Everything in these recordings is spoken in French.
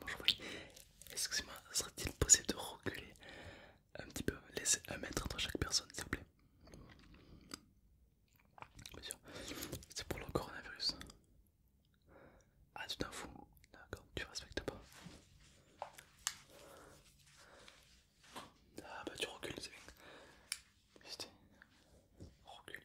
Bonjour excusez-moi, serait-il possible de reculer un petit peu, laisser un mètre entre chaque personne s'il vous plaît Bien sûr, c'est pour le coronavirus. Ah tu t'en fous, d'accord, tu respectes pas. Ah bah tu recules, c'est bien. Recule.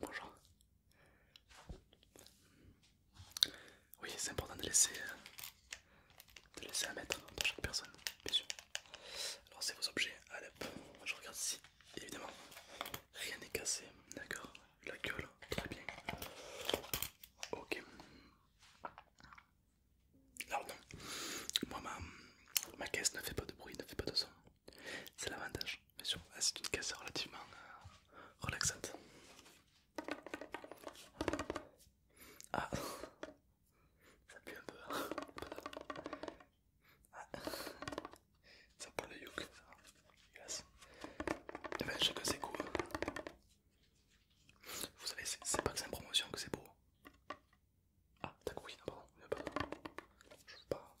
Bonjour. Oui, c'est important de laisser, euh, laisser un mètre pour chaque personne, bien sûr. Alors, c'est vos objets. Allez, je regarde ici. Évidemment, rien n'est cassé. D'accord. La gueule, très bien. Ok. Alors non, moi ma, caisse ne fait pas de bruit, ne fait pas de son. C'est l'avantage, bien sûr. Ah, c'est une caisse relativement euh, relaxante. Ah, ça pue un peu. Hein. Ah. Ça peu le yuk, ça. Yes. Et eh ben, chacun ses vous savez, c'est pas que c'est en promotion que c'est beau. Ah, t'as oui, non, pardon, Je veux pas.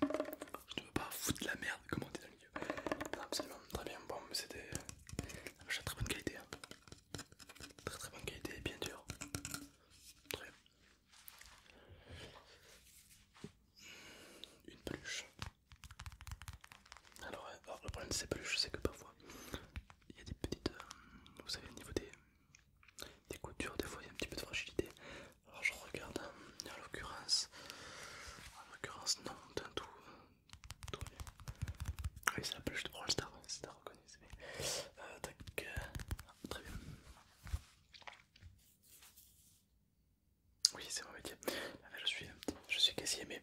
Je ne veux pas foutre la merde comment on dans le milieu. absolument, très bien, bon, mais c'était. J'ai très bonne qualité. Hein. Très très bonne qualité, bien dur. Très bien. Une peluche. alors euh, oh, le problème de ces peluches, c'est que parfois il y a des petites. Euh, vous savez, au niveau des, des coutures, des fois il y a un petit peu de fragilité. Alors je regarde, en l'occurrence, en l'occurrence, non, d'un tout, tout bien. Oui, c'est la peluche de Brawl Star, c'est à reconnaître. Euh, tac, euh, très bien. Oui, c'est mon métier. Je suis, je suis caissier, mais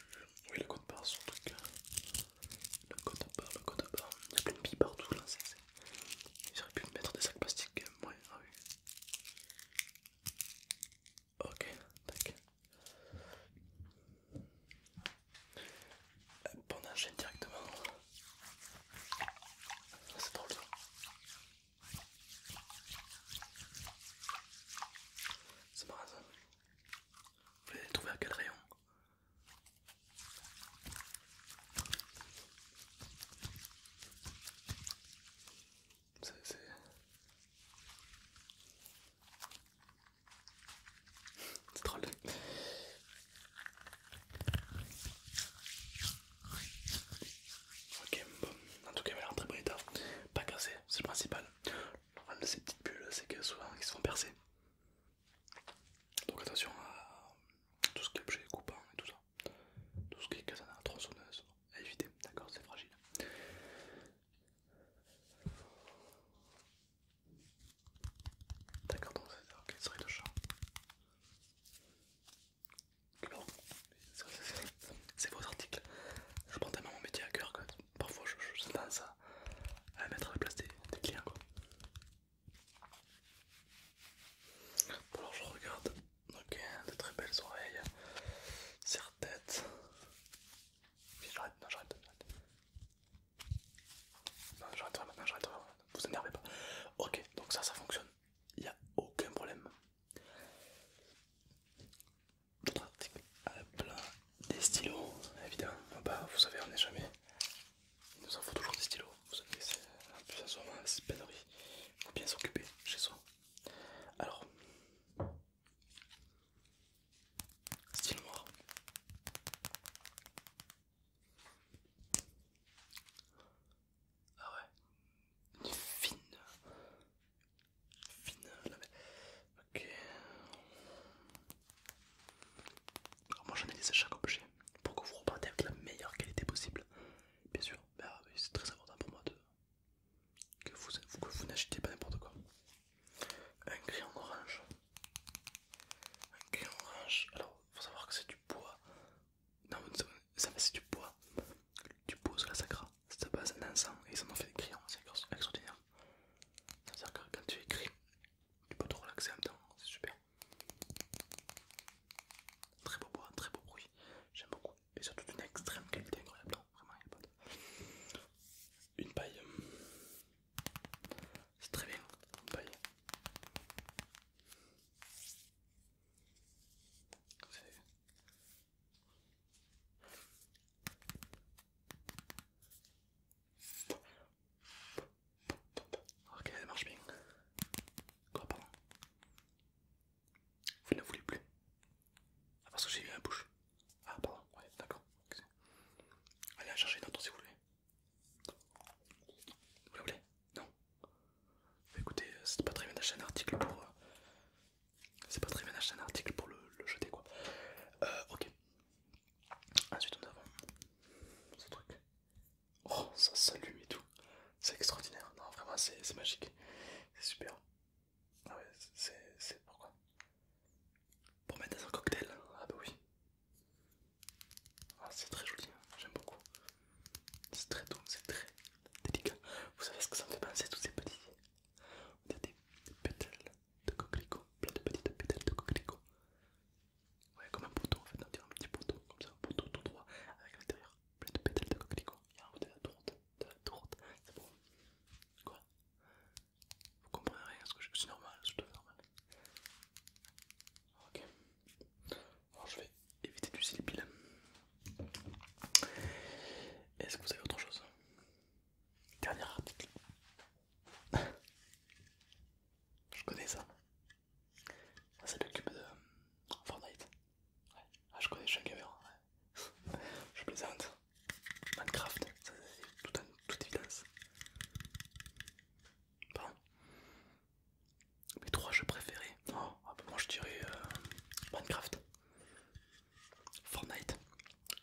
oui, le code barre, son truc. Hein. Le code barre, le code barre. Il n'y a plein de billes partout là. J'aurais pu mettre des sacs plastiques euh, Ouais, ah oui. Ok, tac. On enchaîne directement. Ah, c'est drôle ça. C'est marrant ça. Vous les trouver à quel rayon C'est... C'est drôle. Ok, bon, en tout cas, il m'a très bon état, pas cassé, c'est le principal de ces petites bulles, c'est que souvent ils se font percer. Donc attention à tout ce qui est objet coupant et tout ça. Tout ce qui est katana, tronçonneuse, à éviter, d'accord, c'est fragile. D'accord, donc c'est ok, souris de chat C'est votre article. Je prends tellement mon métier à cœur, parfois je tendance à, mettre à la place des, clients quoi. alors je regarde, ok, de très belles oreilles, serre-tête, j'arrête, non j'arrête, non j'arrête vraiment, j'arrête vous énervez pas, ok donc ça ça fonctionne, il n'y a aucun problème. Pratique plein des stylos, évidemment. Ah bah, vous savez, on est jamais. Il nous en faut toujours des stylos. Vous savez, c'est un peu ça, c'est pénurie. Il faut bien s'occuper chez soi. Alors, stylo noir. Ah ouais, une fine finale. Ok. moi j'analyse chaque objet pour que vous repartez avec la meilleure qualité possible. Bien sûr, bah, c'est très important pour moi de... que vous, que pas n'importe quoi. Un crayon orange. Un crayon orange. Alors, faut savoir que c'est du bois. Non, ça, ça c'est du bois tu poses la sacra, c'est ta base sang et ils en ont fait des crayons, c'est extraordinaire. cest à quand tu écris, tu peux te relaxer en même temps, c'est super. Très beau bois, très beau bruit, j'aime beaucoup. Et surtout d'une extrême qualité incroyable, non, vraiment il n'y a pas de... Une paille, c'est très bien, une paille. Ok, elle marche bien. Quoi, pardon Vous ne voulez plus ah, parce que j'ai eu un bouche. Ah, pardon, ouais, d'accord. Allez, en chercher une autre si vous voulez. Vous la voulez Non bah, Écoutez, euh, c'est pas très bien d'acheter un article pour, euh, c'est pas très bien d'acheter un article pour le, jeter quoi. Euh, ok. Ensuite, on a ce truc. Oh, ça s'allume et tout. C'est extraordinaire. Non, vraiment, c'est magique. C'est super. Ah ouais, c'est pourquoi Pour mettre dans un cocktail. Ah bah oui. Ah, c'est très joli. Hein. J'aime beaucoup. C'est très doux, c'est très délicat. Vous savez ce que ça me fait penser, tous ces petits. de de petites de comme un poteau en fait, un petit poteau, comme ça, un bouton tout droit, avec l'intérieur plein de pétales de coquelicot. Il y a un de la de la c'est bon. Quoi Vous comprenez rien, ce que je... suis normal, Ok, je éviter du les Est-ce que vous avez autre chose Dernier article. Je connais ça. Ça c'est le cube de Fortnite. Ah, je connais, je suis un gamer. je plaisante. Minecraft, c'est tout toute évidence. Pardon. Mes trois jeux préférés. Oh, ah, bah, moi je dirais euh, Minecraft. Fortnite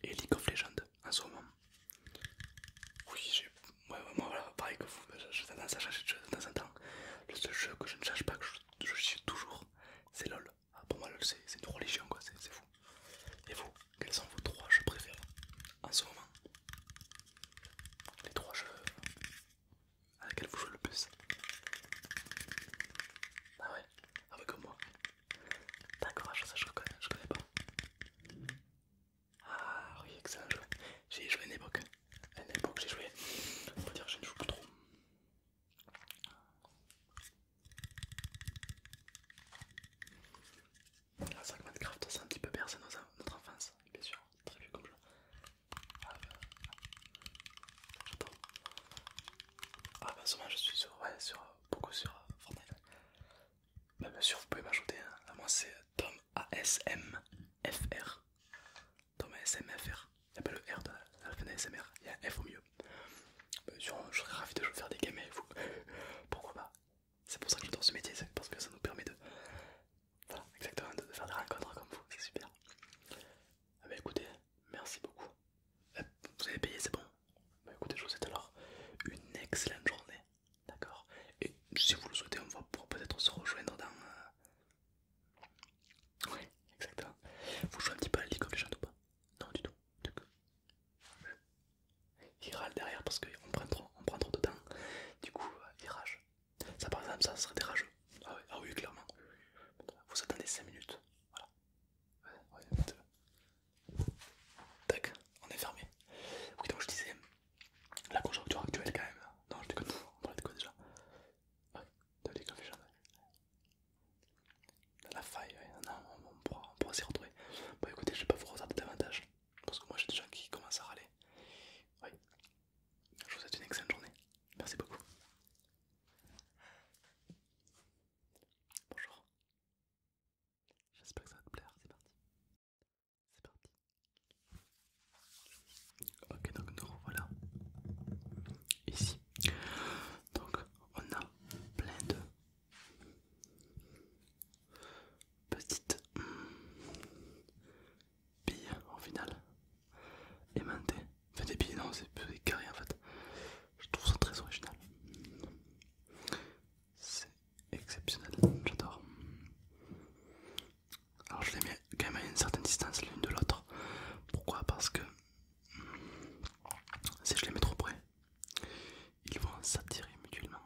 et League of Legends en ce moment. Oui, moi voilà, pareil que vous, j'ai tendance à de jeu de temps en temps. Le seul jeu que je ne cherche pas, que je, suis toujours, c'est LOL. Ah, pour moi, LOL, c'est une religion, quoi, c'est fou. Et vous, quels sont vos trois jeux préférés en ce moment Les trois jeux à ah, laquelle vous jouez le plus. Ah ouais Ah ouais comme moi. D'accord, ça je reconnais, je connais pas. Ah oui, excellent jeu. J'ai joué à une époque. une époque j'ai joué. On va dire que je ne joue plus trop. Ah, Minecraft, c'est Minecraft un petit peu bercé notre enfance, bien sûr, très vieux comme jeu. Ah ben... J'entends. Ah je suis sur... Ouais, sur... Beaucoup sur euh, Fortnite. Bah bien sûr vous pouvez m'ajouter. Hein. Moi c'est Tom ASMFR. Tom ASMFR. Il n'y a pas le R de la fin il y a un F au mieux. Bah, bien sûr je serais ravi de faire des games avec vous. Pourquoi pas C'est pour ça que je j'adore ce métier, parce que ça nous permet de voilà, exactement, de faire des rencontres comme vous, c'est super. bah écoutez, merci beaucoup. Euh, vous avez payé, c'est bon. Bah écoutez, je vous souhaite alors une excellente journée, d'accord Et si vous le souhaitez, on va peut-être se rejoindre dans... Euh, oui, exactement. Vous jouez un petit peu à les ou pas Non, du tout. Du coup. Il râle derrière parce qu'on prend, prend trop de temps. Du coup, virage euh, ça, par exemple, ça serait dérageux. Ah, ah oui, clairement. Vous attendez 5 minutes. Voilà. Tac, on est fermé. Oui, donc je disais, la conjoncture actuelle, quand même. Non, je déconne, on va de quoi déjà Ouais, de La faille, ouais, non, on, pourra, s'y retrouver. Bon, bah, écoutez, je vais pas vous retarder davantage. Parce que moi, j'ai des gens qui commencent à râler. Je vous souhaite une excellente journée. Merci beaucoup. Bonjour. J'espère que ça va te plaire. C'est parti. C'est parti. Ok, donc nous revoilà ici. Donc on a plein de petites billes en final aimantées. Enfin, des billes, non, c'est des carrés en fait. Je trouve ça très original. C'est exceptionnel, j'adore. Alors, je les mets quand même à une certaine distance l'une de l'autre. Pourquoi Parce que si je les mets trop près, ils vont s'attirer mutuellement.